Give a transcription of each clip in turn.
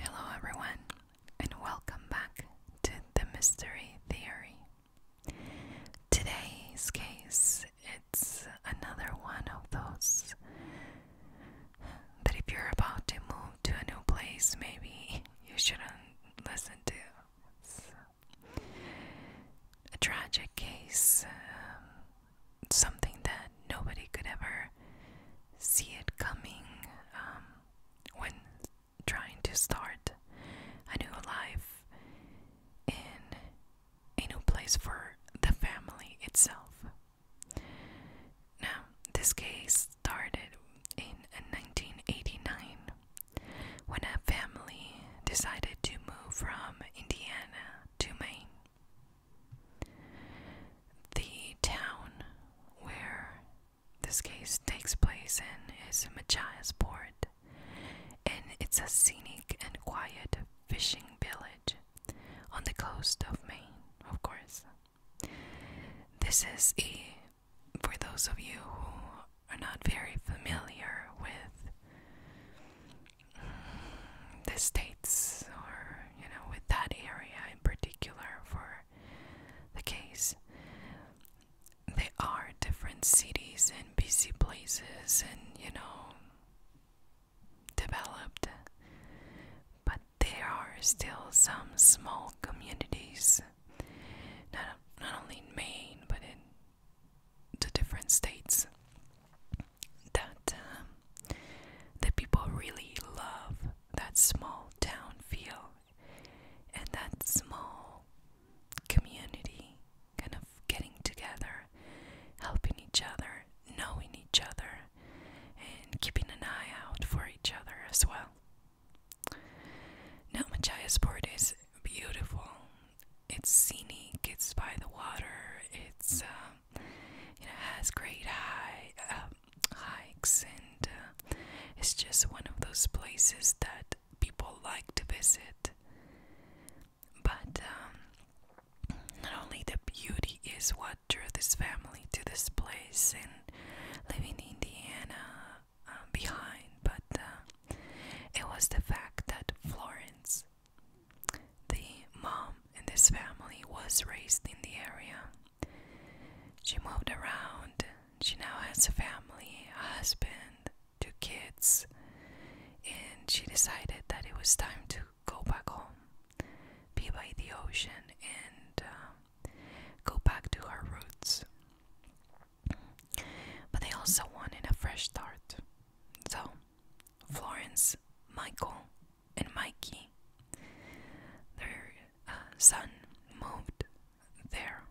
Hello, everyone, and welcome back to the Mystery Theory. Today's case it's another one of those that if you're about to move to a new place, maybe you shouldn't listen to. a tragic case. Um, something that nobody could ever see it coming um, when trying to start a new life in a new place for the family itself. Now, this case started in 1989 uh, when a family decided to move from Indiana to Maine. The town where this case takes place in is Machiasport, and it's a scenic and quiet fishing village on the coast of Maine, of course. This is a, for those of you who are not very familiar with the states or you know with that area in particular for the case there are different cities and busy places and you know developed but there are still some small communities not, not only in Maine but in the different states that um, the people really love that small town feel and that small community kind of getting together, helping each other, knowing each other, and keeping an eye out for each other as well. Now, Machiasport is beautiful. It's scenic, it's by the water, it's um, you has great high uh, hikes and uh, it's just one of those places that people like to visit but um, not only the beauty is what drew this family to this place and leaving Indiana uh, behind but it was the fact that Florence the mom in this family was raised in the area. She moved around. She now has a family, a husband, two kids, and she decided that it was time to go back home, be by the ocean, and um, go back to her roots. But they also wanted a fresh start. So Florence, Michael, and Mikey. Their uh, son moved there.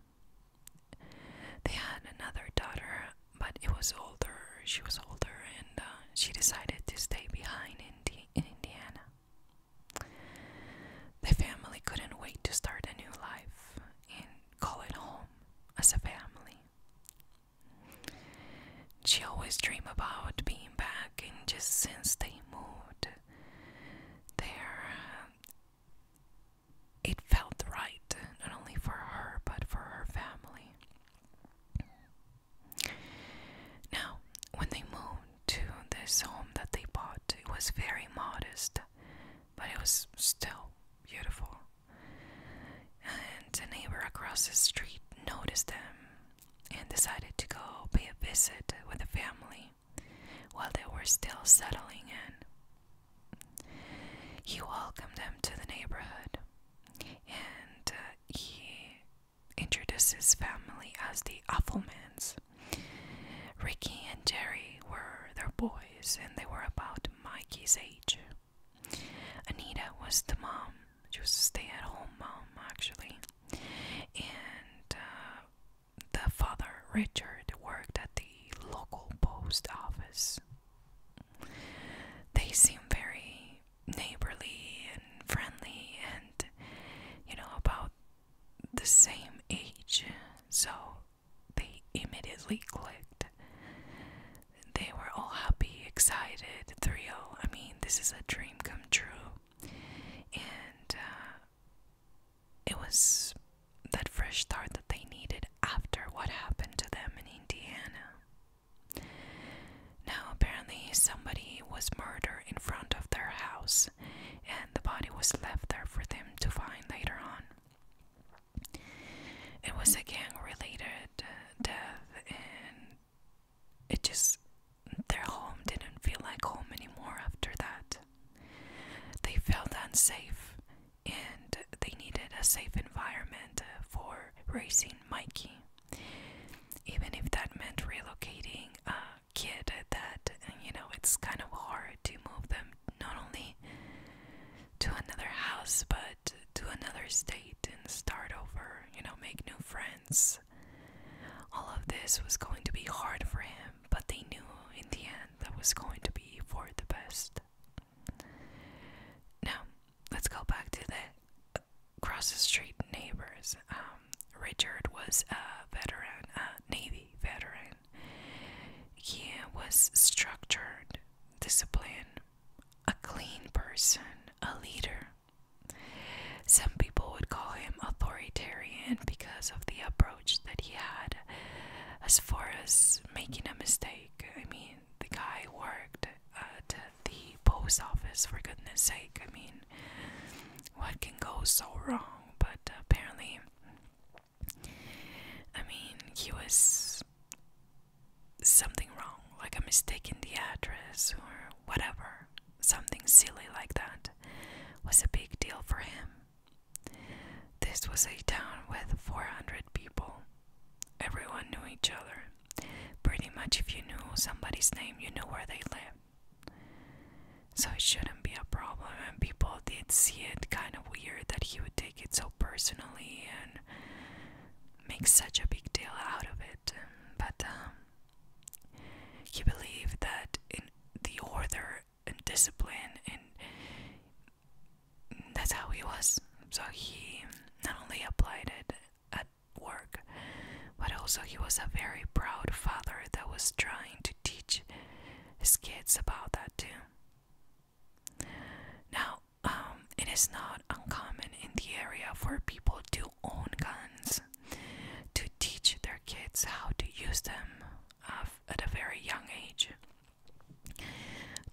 They had another daughter, but it was older. She was older, and uh, she decided to stay behind in, in Indiana. The family couldn't wait to start a new life and call it home as a family. She always dreamed about being back, and just since they moved there, uh, it felt right not only for her but for her family. Now, when they moved to this home that they bought, it was very modest, but it was still beautiful. And a neighbor across the street noticed them and decided to go pay a visit with the family while they were still settling in. He welcomed them to the neighborhood and uh, he introduces his family as the Affelmans. Ricky and Jerry were their boys, and they were about Mikey's age. Anita was the mom. She was a stay-at-home mom, actually, and uh, the father, Richard, worked at the local post office. They seemed very neighborly and friendly, and you know about the same age, so they immediately clicked. They were all happy, excited, thrilled. I mean, this is a dream come true. And uh, it was that fresh start that they needed after what happened to them in Indiana. Now, apparently, somebody was murdered in front of their house, and the body was left there for them to find later on. It was a gang related uh, death, and it just, their home didn't feel like home anymore after that. They felt unsafe, and they needed a safe environment uh, for raising Mikey, even if that meant relocating a kid that, you know, it's kind of hard to move them not only to another house but to another state and start over, you know, make new friends. All of this was going to be hard for him, but they knew in the end that was going to be for the best. Now, let's go back to the cross the street neighbors. Um, Richard was a veteran, a Navy veteran. He was structured, disciplined, a clean person, a leader. Some people would call him authoritarian because of the approach that he had as far as making a mistake. I mean, the guy worked at the post office, for goodness sake. I mean, what can go so wrong? But apparently, I mean, he was something wrong, like a mistake in the address or whatever, something silly like that, was a big deal for him. This was a town with 400 people. Everyone knew each other. Pretty much, if you knew somebody's name, you knew where they lived. So it shouldn't be a problem, and people did see it kind of weird that he would take it so personally and make such a big deal out of it, but um, he believed that in the order and discipline, and that's how he was. So he not only applied it at work, but also he was a very proud father that was trying to teach his kids about that too. Now, um, it is not uncommon in the area for people to own guns, to teach their kids how to use them uh, at a very young age,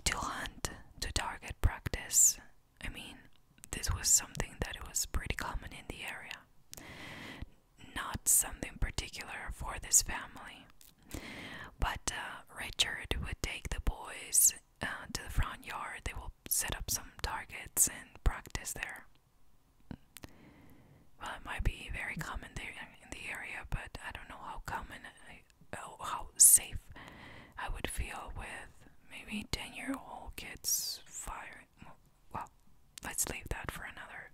to hunt, to target practice. I mean, this was something that was pretty common in the area. Not something particular for this family. But uh, Richard would take the boys uh, to the front yard, they will set up some targets and practice there. Well, it might be very common there in the area, but I don't know how common, I, how safe I would feel with maybe 10 year old kids firing. Well, let's leave that for another.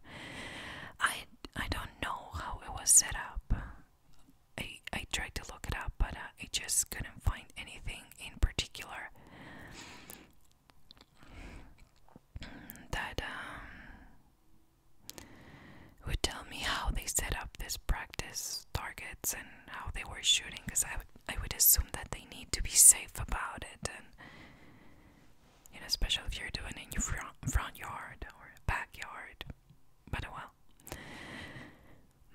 I, I don't know how it was set up. I, I tried to look it up, but uh, I just couldn't find anything in particular that um, would tell me how they set up this practice targets and how they were shooting, because I I would assume that they need to be safe about it, and you know, especially if you're doing in your front front yard or backyard. But uh, well,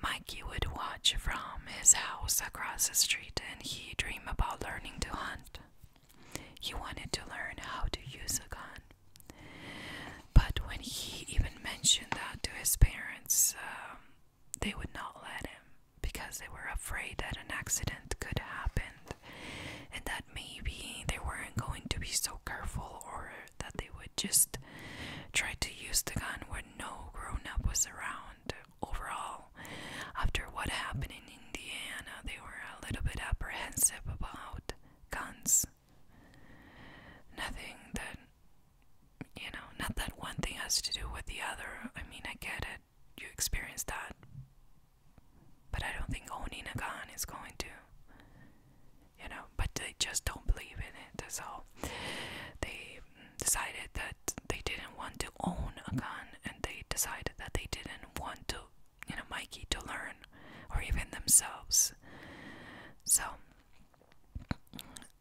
Mikey would watch from his house across the street and he'd dream about learning to hunt. He wanted to learn how to use a gun. But when he even mentioned that to his parents, um, they would not let him because they were afraid that an accident could happen and that maybe they weren't going to be so careful or that they would just tried to use the gun when no grown up was around. Overall, after what happened in Indiana, they were a little bit apprehensive about guns. Nothing that, you know, not that one thing has to do with the other. I mean, I get it. You experience that. But I don't think owning a gun is going to you know, but they just don't believe in it. So they decided that they didn't want to own a gun, and they decided that they didn't want to, you know, Mikey to learn, or even themselves. So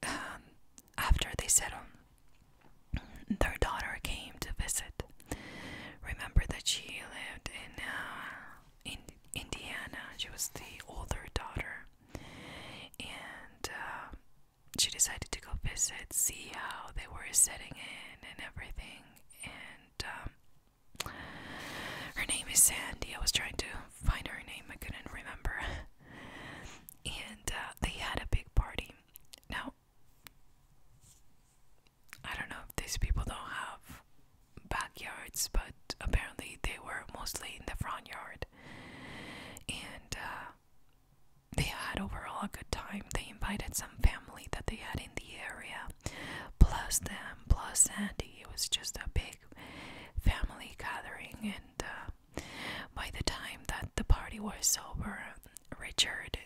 um, after they settled, their daughter came to visit. Remember that she lived in uh, in Indiana. She was the older daughter, and uh, she decided to go visit, see how they were setting in and everything. And um, her name is Sandy. I was trying to find her name, I couldn't remember. and uh, they had a big party. Now, I don't know if these people don't have backyards, but apparently they were mostly in the front yard. And uh, they had overall a good time. They invited some family that they had in the area, plus them, plus Sandy. It was just a big family gathering. And uh, by the time that the party was over, Richard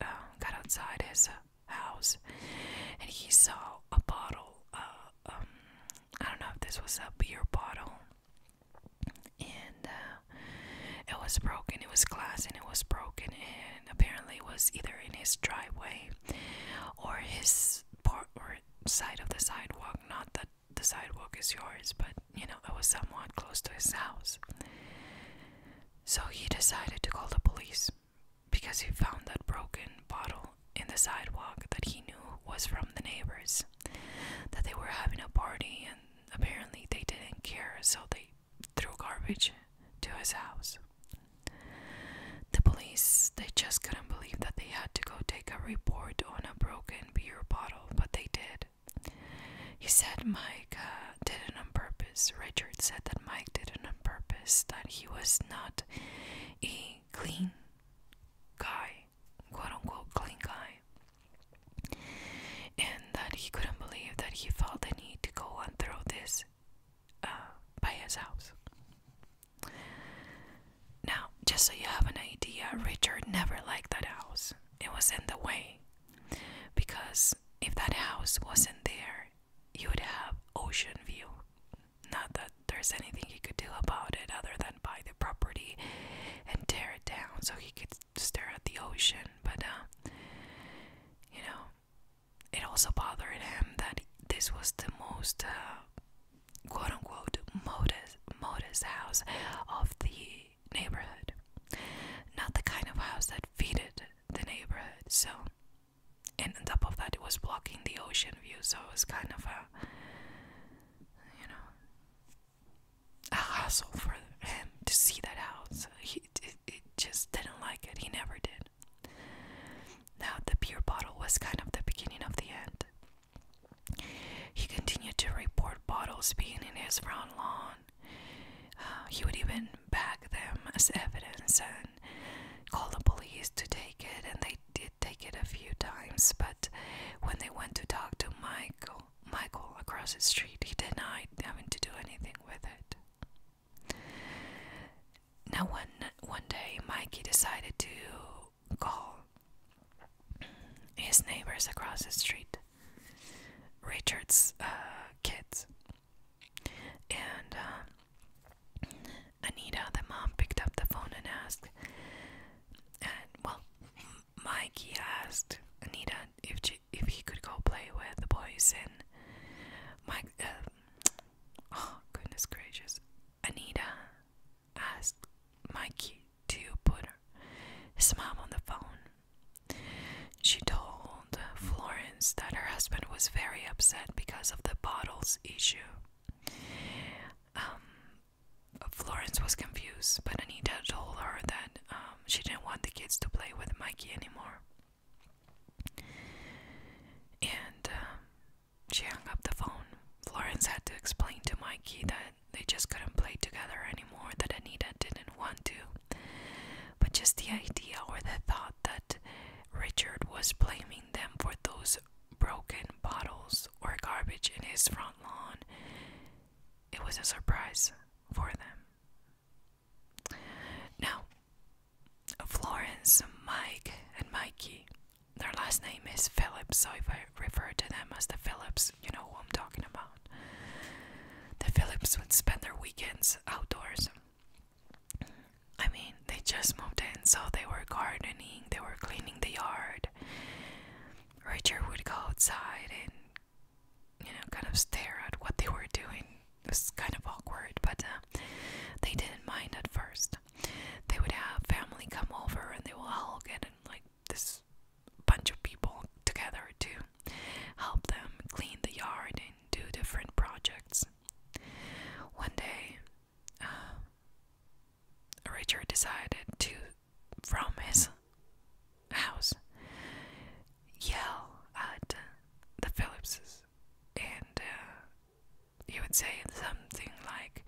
uh, got outside his house and he saw a bottle uh, um, I don't know if this was a beer bottle, and uh, it was broken. It was glass, and it was broken, and apparently was either in his driveway or his part or side of the sidewalk. Not that the sidewalk is yours, but you know it was somewhat close to his house. So he decided to call the police because he found that broken bottle in the sidewalk that he knew was from the neighbors. That they were having a party and apparently they didn't care, so they threw garbage to his house. The police, they just couldn't believe that they had to go take a report on a broken beer bottle, but they did. He said Mike uh, did it on purpose. Richard said that Mike did it on purpose, that he was not a clean guy, quote unquote, clean guy, and that he couldn't believe that he felt the need to go and throw this uh, by his house. Now, just so you have an idea, Richard never liked that house. It was in the way. Because if that house wasn't there, you would have ocean view. Not that there's anything he could do about it other than buy the property and tear it down so he could stare at the ocean, but uh, you know, it also bothered him that this was the most uh, quote unquote modest, modest house of the neighborhood. Not the kind of house that fitted the neighborhood, so and on top of that, it was blocking the ocean view, so it was kind of a, you know, a hassle for him to see that house. He it, it just didn't like it. He never did. Now the beer bottle was kind of the beginning of the end. He continued to report bottles being in his front lawn. Uh, he would even bag them as evidence and call the police to take it, and they did take it a few times, but when they went to talk to Michael, Michael across the street, he denied having to do anything with it. Now, one one day, Mikey decided to call his neighbors across the street, Richard's uh, kids, and. Um, Anita, the mom, picked up the phone and asked, well, Mikey asked Anita if if he could go play with the boys. And Mike, uh, oh goodness gracious, Anita asked Mikey to put his mom on the phone. She told Florence that her husband was very upset because of the bottles issue. Um, Florence was confused, but Anita told her that um, she didn't want the kids to play with Mikey anymore. And um, she hung up the phone. Florence had to explain to Mikey that they just couldn't play together anymore, that Anita didn't want to. But just the idea or the thought that Richard was blaming them for those broken bottles or garbage in his front lawn, it was a surprise for them. Now, Florence, Mike, and Mikey, their last name is Phillips, so if I refer to them as the Phillips, you know who I'm talking about. The Phillips would spend their weekends outdoors. I mean, they just moved in, so they were gardening, they were cleaning the yard. Richard would go outside and, you know, kind of stare at what they were doing. It was kind of awkward, but uh, they didn't mind at first. They would have family come over and they would all get in like this bunch of people together to help them clean the yard and do different projects. One day, um, Richard decided to, from his house, yell at the Phillipses, and uh, he would say something like,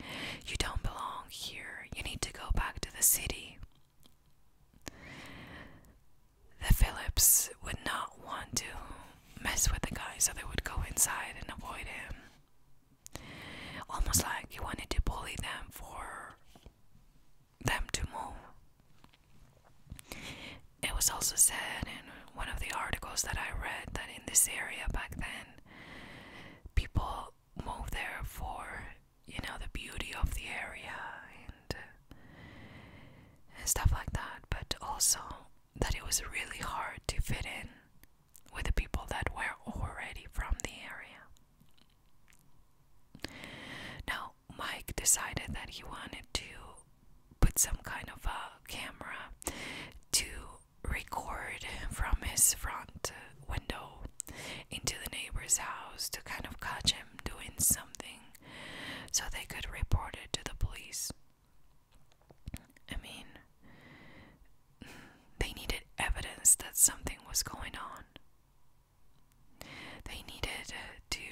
"You don't belong here. You need to go back to the city." The Phillips would not want to mess with the guy, so they would go inside and avoid him. Almost like he wanted to bully them for them to move. It was also said in one of the articles that I read that in this area back then, people moved there for you know the beauty of the area and stuff like that, but also that it was really hard to fit in with the people that were already from the area. Now, Mike decided that he wanted to put some kind of a camera to record from his front window into the neighbor's house to kind of catch him doing something so they could report it to the police. I mean, they needed evidence that something was going on. They needed uh, to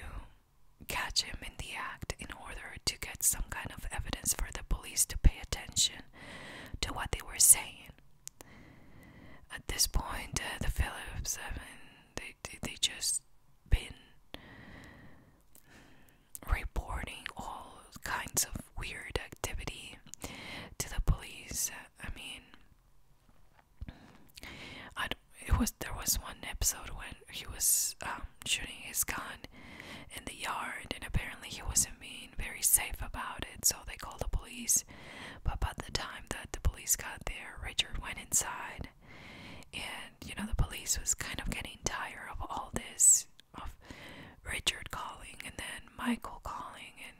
catch him in the act in order to get some kind of evidence for the police to pay attention to what they were saying. At this point, uh, the Phillips, I they, they, they just been reporting all kinds of weird activity to the police. I mean, I it was there was one episode when he was um, shooting his gun in the yard, and apparently he wasn't being very safe about it, so they called the police. But by the time that the police got there, Richard went inside, and you know the police was kind of getting tired of all this of Richard calling and then Michael calling, and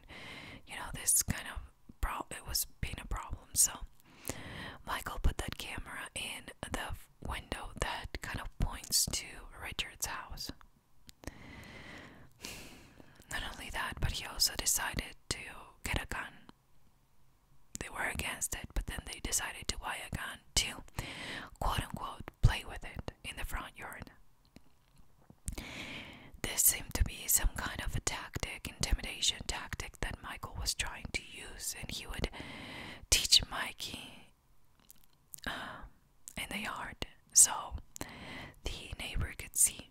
you know, this kind of pro it was being a problem. So, Michael put that camera in the window that kind of points to Richard's house. Not only that, but he also decided to get a gun. They were against it, but then they decided to buy a gun too, quote unquote play with it in the front yard. This seemed to be some kind of a tactic, intimidation tactic that Michael was trying to use, and he would teach Mikey um, in the yard so the neighbor could see.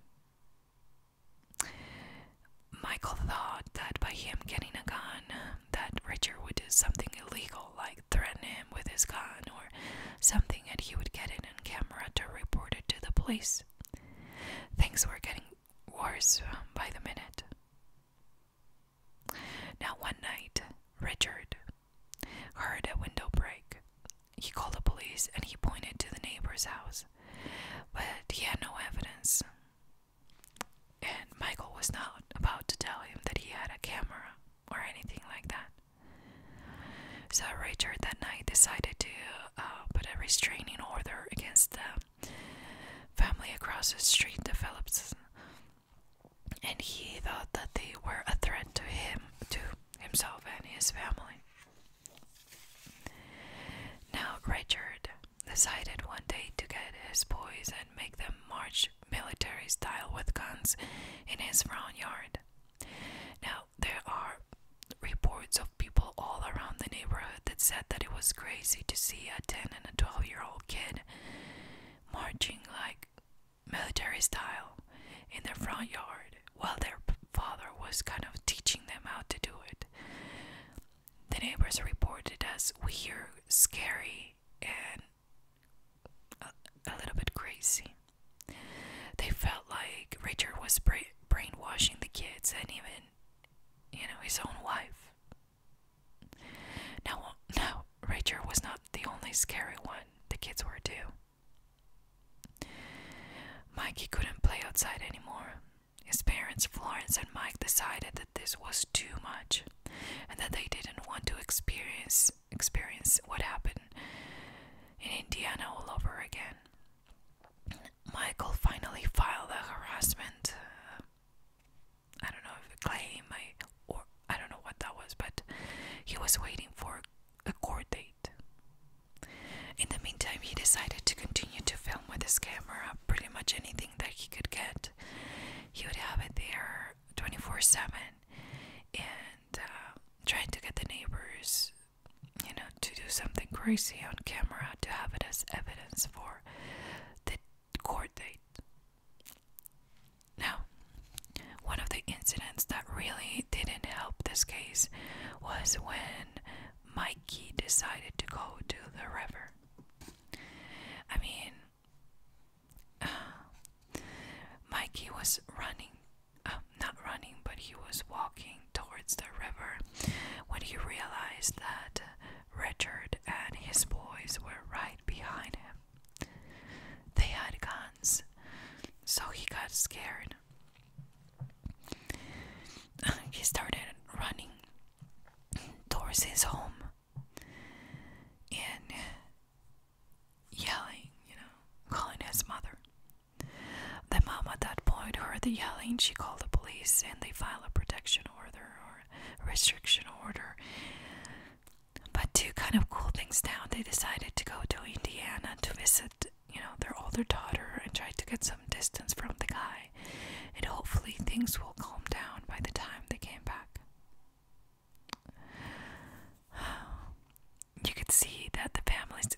Michael thought that by him getting a gun, that Richard would do something illegal like threaten him with his gun or something, and he would get it on camera to report it to the police. Things were getting worse um, by the minute. Now, one night, Richard heard a window break. He called the police and he pointed to the neighbor's house, but he had no evidence and Michael was not about to tell him that he had a camera or anything like that. So Richard that night decided to uh, put a restraining order against the family across the street, the Phillips, and he thought that they were a threat to him, to himself and his family. Now Richard decided one day to get his boys make them march military style with guns in his front yard. Now, there are reports of people all around the neighborhood that said that it was crazy to see a 10 and a 12 year old kid marching like military style in their front yard while their father was kind of teaching them how to do it. The neighbors reported as weird, scary, and a, little bit crazy. They felt like Richard was brainwashing the kids and even, you know, his own wife. Now, now Richard was not the only scary one. The kids were too. Mikey couldn't play outside anymore. His parents, Florence and Mike, decided that this was too much and that they didn't want to experience experience what happened in Indiana all over again. Michael finally filed a harassment uh, I don't know a claim or I don't know what that was, but he was waiting for a court date. In the meantime, he decided to continue to film with his camera pretty much anything that he could get. He would have it there 24 7 and uh, trying to get the neighbors you know to do something crazy on camera to have it as evidence for the court date now one of the incidents that really didn't help this case was when mikey decided to go to the river i mean Mikey was running, uh, not running, but he was walking towards the river when he realized that Richard and his boys were right behind him. They had guns, so he got scared. He started running towards his home. And yelling, you know, calling his mother. The mom at that point heard the yelling. She called the police and they filed a protection order or restriction order. But to kind of cool things down, they decided to go to Indiana to visit, you know, their older daughter and try to get some distance from the guy. And hopefully things will calm down by the time they came back. You could see that the families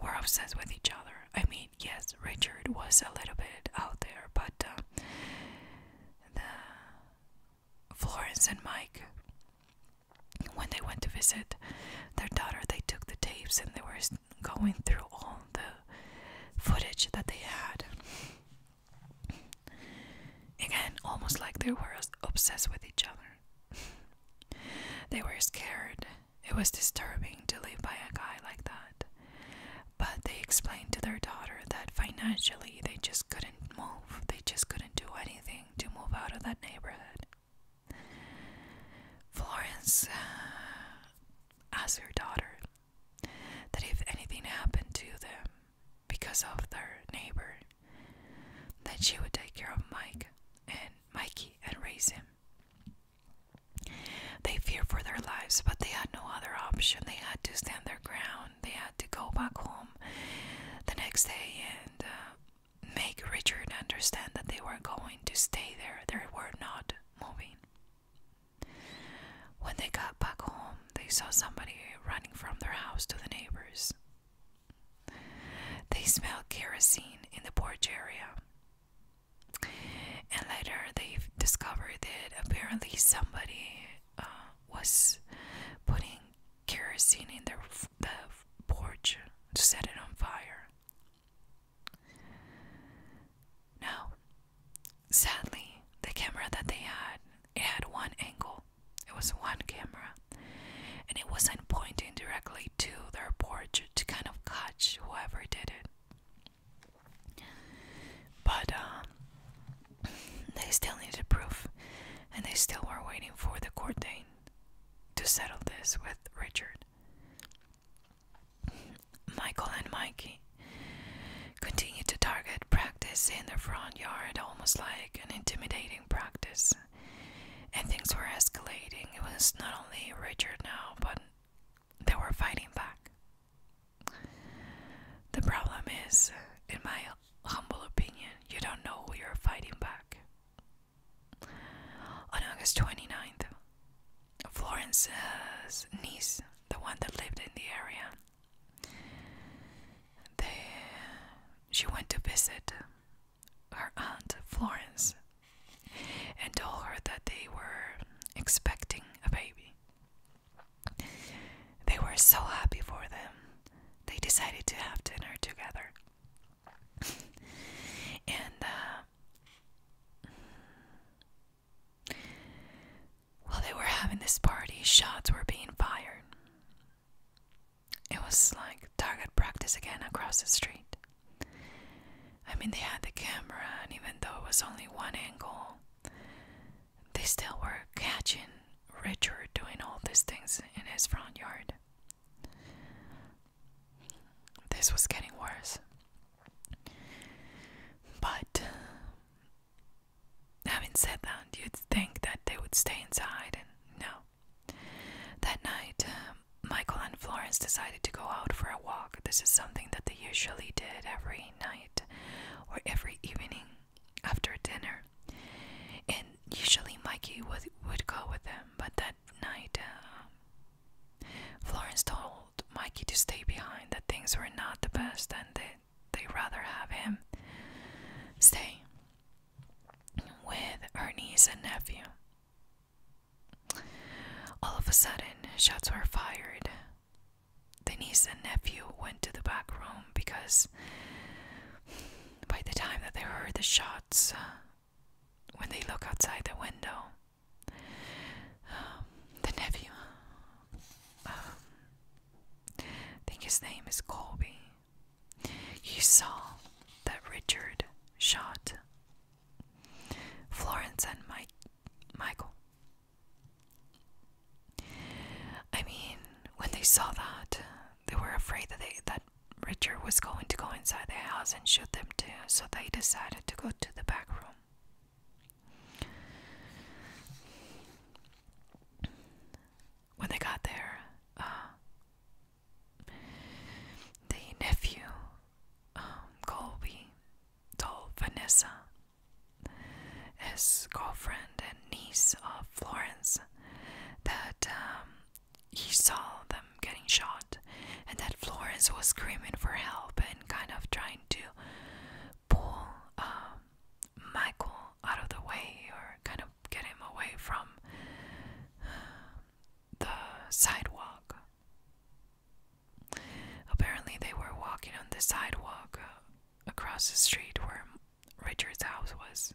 were obsessed with each other. I mean, yes, Richard was a little bit out there, but uh, the Florence and Mike, when they went to visit their daughter, they took the tapes and they were going through all the footage that they had. Again, almost like they were obsessed with each other. they were scared. It was disturbing to live by a guy like that. But they explained to their daughter that financially they just couldn't move, they just couldn't do anything to move out of that neighborhood. Florence uh, asked her daughter that if anything happened to them, because of their neighbor. Then she would take care of Mike and Mikey and raise him. They feared for their lives, but they had no other option. They had to stand their ground. They had to go back home the next day and uh, make Richard understand that they were going to stay there. They were not moving. When they got back home, they saw somebody running from their house to the neighbors. They smelled kerosene in the porch area. And later they discovered that apparently somebody uh, was putting kerosene in their the porch to set it on fire. Now, Sadly, the camera that they had, it had one angle. It was one camera. And it wasn't pointing directly to their porch to kind of catch whoever did it. But um, they still needed proof, and they still were waiting for the court to settle this with Richard. Michael and Mikey Continue to target practice in the front yard, almost like an intimidating practice. And things were escalating. It was not only Richard now, but they were fighting back. The problem is, in my humble opinion, you don't know who you're fighting back. On August 29th, Florence's niece, the one that lived in the area, they, she went to visit her aunt Florence and told her that they were expecting a baby. They were so happy for them, they decided to have dinner together. and uh, while they were having this party, shots were being fired. It was like target practice again across the street. I mean, they had the camera, and even though it was only one angle, they still were catching Richard doing all these things in his front yard. This was getting worse. But Having said that, you'd think that they would stay inside, and no. That night, um, Michael and Florence decided to go out for a walk. This is something that they usually did every night or every evening after dinner. And usually Mikey would, go with them, but that night, um, Florence told Mikey to stay behind, that things were not the best, and that they rather have him stay with her niece and nephew. All of a sudden, shots were fired. The niece and nephew went to the back room because by the time that they heard the shots, uh, when they look outside the window, um, the nephew um, I think his name is Colby. He saw that Richard shot Florence and Mike Michael. I mean, when they saw that, they were afraid that they that Richard was going to go inside the house and shoot them too, so they decided to go to the back room. When they got there, uh, the nephew, um, Colby, told Vanessa, his girlfriend and niece of Florence, that um, he saw them getting shot and that Florence was screaming for help and kind of trying to pull um, Michael out of the way or kind of get him away from the sidewalk. Apparently, they were walking on the sidewalk uh, across the street where Richard's house was.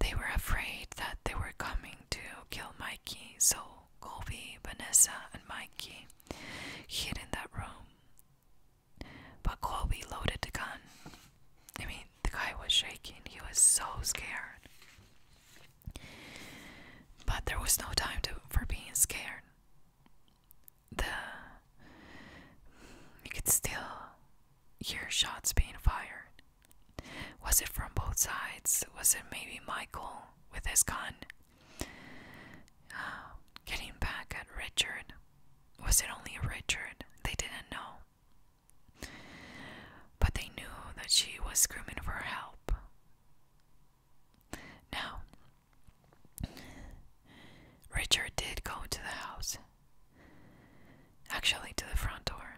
They were afraid that they were coming to kill Mikey, so Colby, Vanessa, and Mikey hid in that room. But Colby loaded the gun. I mean, the guy was shaking, he was so scared. But there was no time to, for being scared. The you could still hear shots being fired. Was it from both sides? Was it maybe Michael with his gun getting back at Richard. Was it only Richard? They didn't know. But they knew that she was screaming for help. Now, Richard did go to the house, actually to the front door,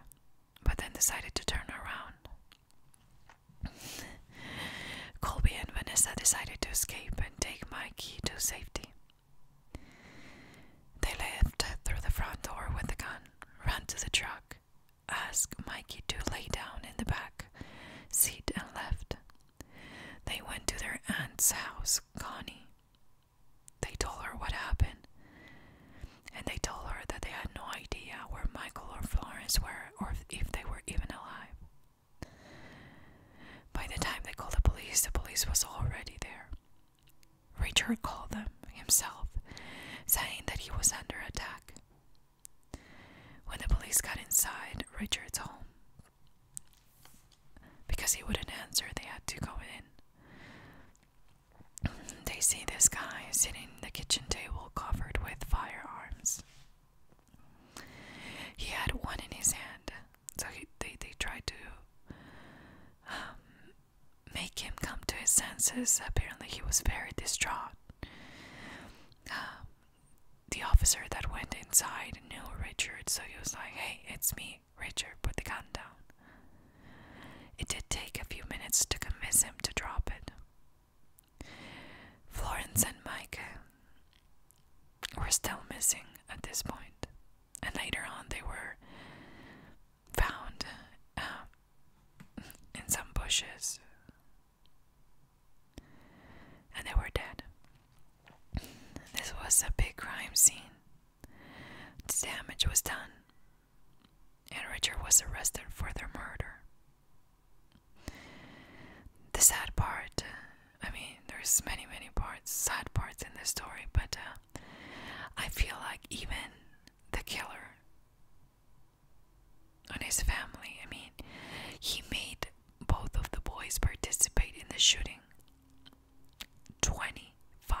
but then decided to turn around. Colby and Vanessa decided to escape and take Mikey to safety. They left through the front door with the gun, ran to the truck, asked Mikey to lay down in the back seat, and left. They went to their aunt's house, Connie. They told her what happened, and they told her that they had no idea where Michael or Florence were or if they were even alive. By the time they called the police, the police was already there. Richard called them himself, saying that he was under attack. When the police got inside Richard's home, because he wouldn't answer, they had to go in. They see this guy sitting at the kitchen table covered with firearms. He had one in his hand, so they, they tried to um, make him come to his senses. Apparently, he was very distraught. Um, the officer that went inside knew Richard, so he was like, Hey, it's me, Richard, put the gun down. It did take a few minutes to convince him to drop it. Florence and Mike were still missing at this point, and later on they were found uh, in some bushes, and they were dead. This was a big crime scene. The damage was done, and Richard was arrested for their murder the sad part uh, i mean there's many many parts sad parts in the story but uh, i feel like even the killer and his family i mean he made both of the boys participate in the shooting 25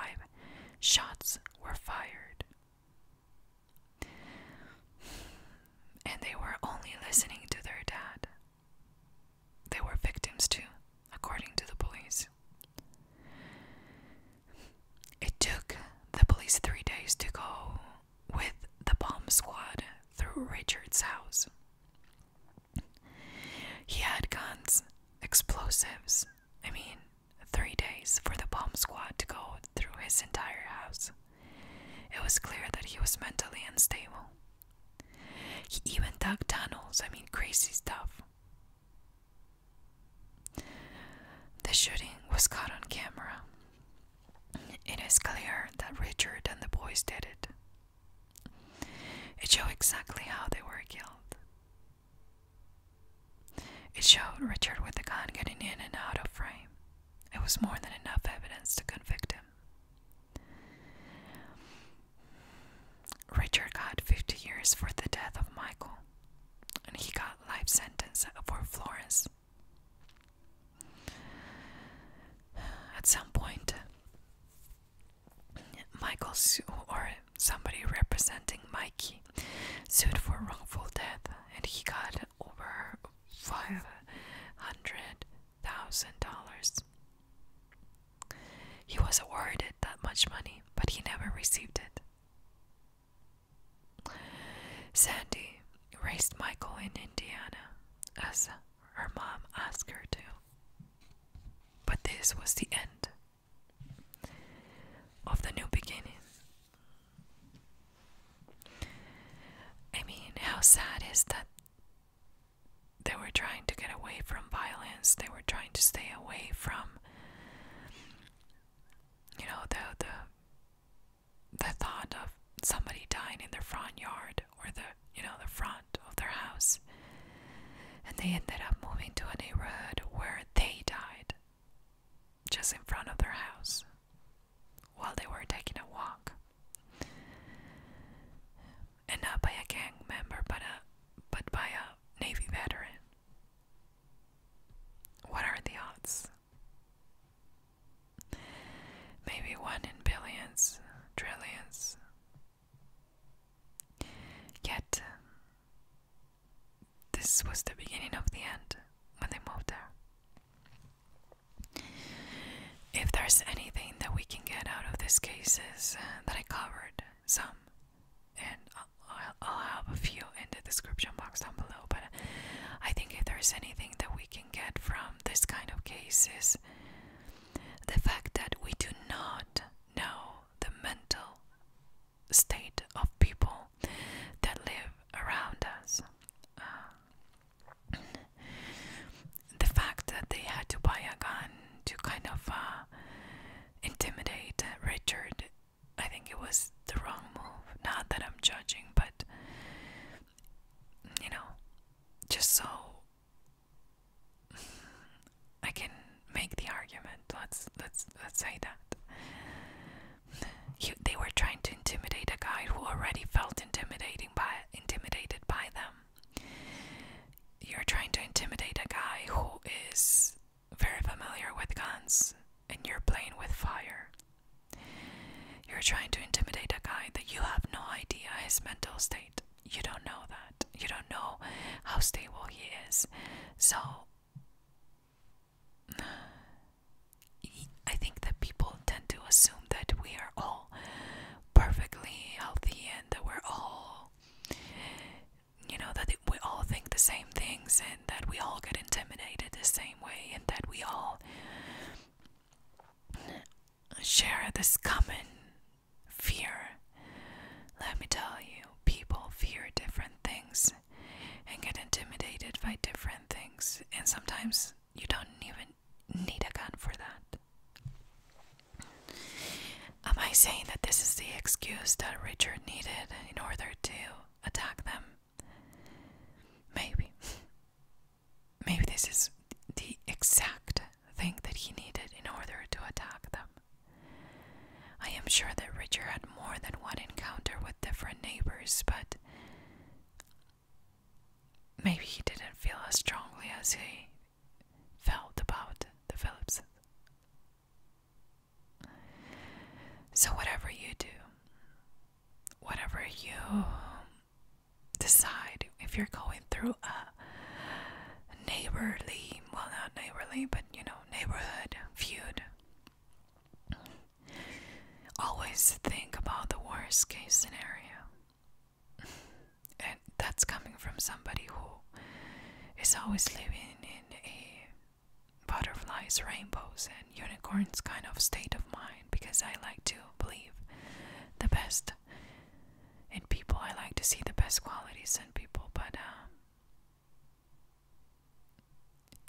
shots were fired and they were only listening to their dad. They were victims too, according to the police. It took the police three days to go with the bomb squad through Richard's house. He had guns, explosives. I mean, three days for the bomb squad to go through his entire house. It was clear that he was mentally unstable. He even dug tunnels, I mean, crazy stuff. The shooting was caught on camera. It is clear that Richard and the boys did it. It showed exactly how they were killed. It showed Richard with the gun getting in and out of frame. It was more than enough evidence to convict him. Richard got 50 years for the death of Michael, and he got life sentence for Florence. At some point, Michael or somebody representing Mikey sued for wrongful death, and he got over five hundred thousand dollars. He was awarded that much money, but he never received it. Sandy raced Michael in Indiana as her mom asked her to. But this was the end of the new beginning. I mean, how sad is that they were trying to get away from violence, they were trying to stay away from you know the the the thought of somebody dying in their front yard or the you know the front of their house and they ended up moving to a neighborhood where they died just in front of their house while they were taking a walk. And not by a gang member, but, a, but by a Navy veteran. What are the odds? Maybe one in billions, trillions. Yet, this was the beginning of the end when they moved there. If there's anything that we can get out of these cases, uh, that I covered some, and I'll, have a few in the description box down below. But I think if there's anything that we can get from this kind of cases, the fact that we do not know the mental state of people that live around us. Uh, the fact that they had to buy a gun to kind of uh, intimidate Richard, I think it was the wrong move. Not that I'm judging, but you know, just so I can make the argument. Let's let's let's say that. He, they were trying to intimidate a guy who already felt intimidating by intimidated by them. You're trying to intimidate a guy who is very familiar with guns, and you're playing with fire. You're trying to intimidate a guy that you have no idea his mental state. You don't know that. You don't know how stable he is. So I think that people tend to assume that we are all perfectly healthy and that we're all, you know, that we all think the same things and that we all get intimidated the same way and that we all share this common fear. Let me tell you, people fear different things and get intimidated by different things, and sometimes you don't even need a gun for that. Am I saying that this is the excuse that Richard needed in order to attack them? Maybe. Maybe this is the exact thing that he needed in order to attack them. I am sure that Richard had more than one encounter with different neighbors, but Maybe he didn't feel as strongly as he felt about the Phillips. So, whatever you do, whatever you decide, if you're going through a neighborly, well, not neighborly, but you know, neighborhood feud, Always think about the worst case scenario. and that's coming from somebody who is always living in a butterflies, rainbows, and unicorns kind of state of mind because I like to believe the best in people. I like to see the best qualities in people, but um,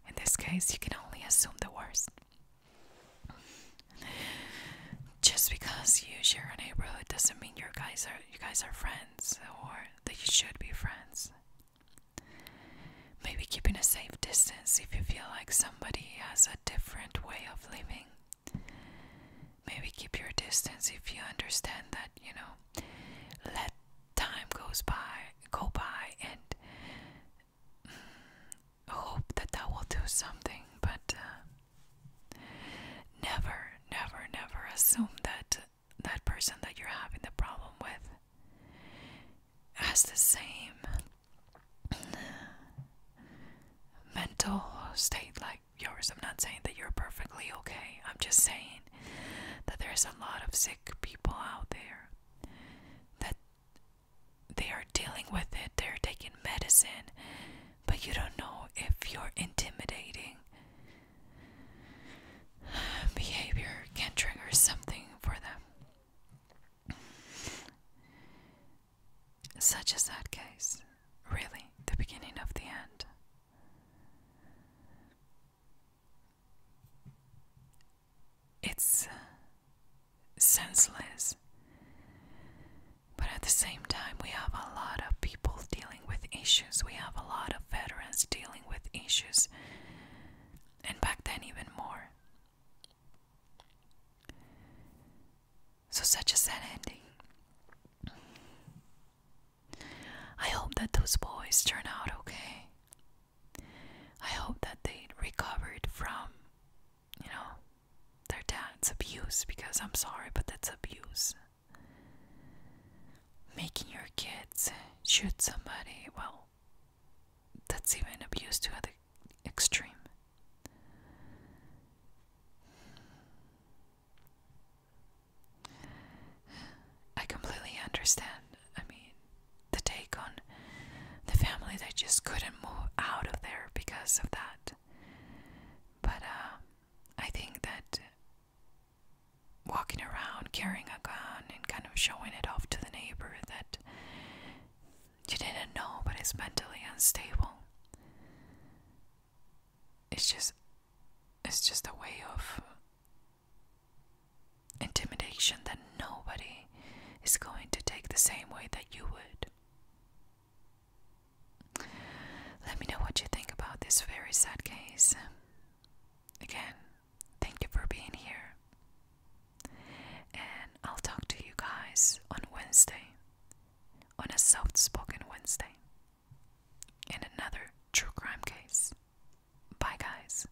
in this case, you can only assume the worst. Just because you share a neighborhood doesn't mean you guys are you guys are friends or that you should be friends. Maybe keeping a safe distance if you feel like somebody has a different way of living. Maybe keep your distance if you understand that, you know, let time goes by go by and hope that that will do something, but uh, never, never, never assume that that person that you're having the problem with has the same mental state like yours. I'm not saying that you're perfectly okay, I'm just saying that there's a lot of sick people out there that they are dealing with it, they're taking medicine, but you don't know if you're intimidating. Behavior can trigger something for them, such a sad case, really, the beginning of the end. It's uh, senseless. But at the same time, we have a lot of people dealing with issues. We have a lot of veterans dealing with issues. And back then, even more. So, such a sad ending. I hope that those boys turn out okay. I hope that they recovered from, you know, their dad's abuse because I'm sorry, but that's abuse. Making your kids shoot somebody, well, that's even abuse to the extreme. I completely understand I mean, the take on the family they just couldn't move out of there because of that. But uh, I think that walking around carrying a gun and kind of showing it off to the neighbor that you didn't know but is mentally unstable. It's just it's just a way of intimidation that nobody is going to take the same way that you would. Let me know what you think about this very sad case. Again, thank you for being here. And I'll talk to you guys on Wednesday, on a soft spoken Wednesday, in another true crime case. Bye, guys.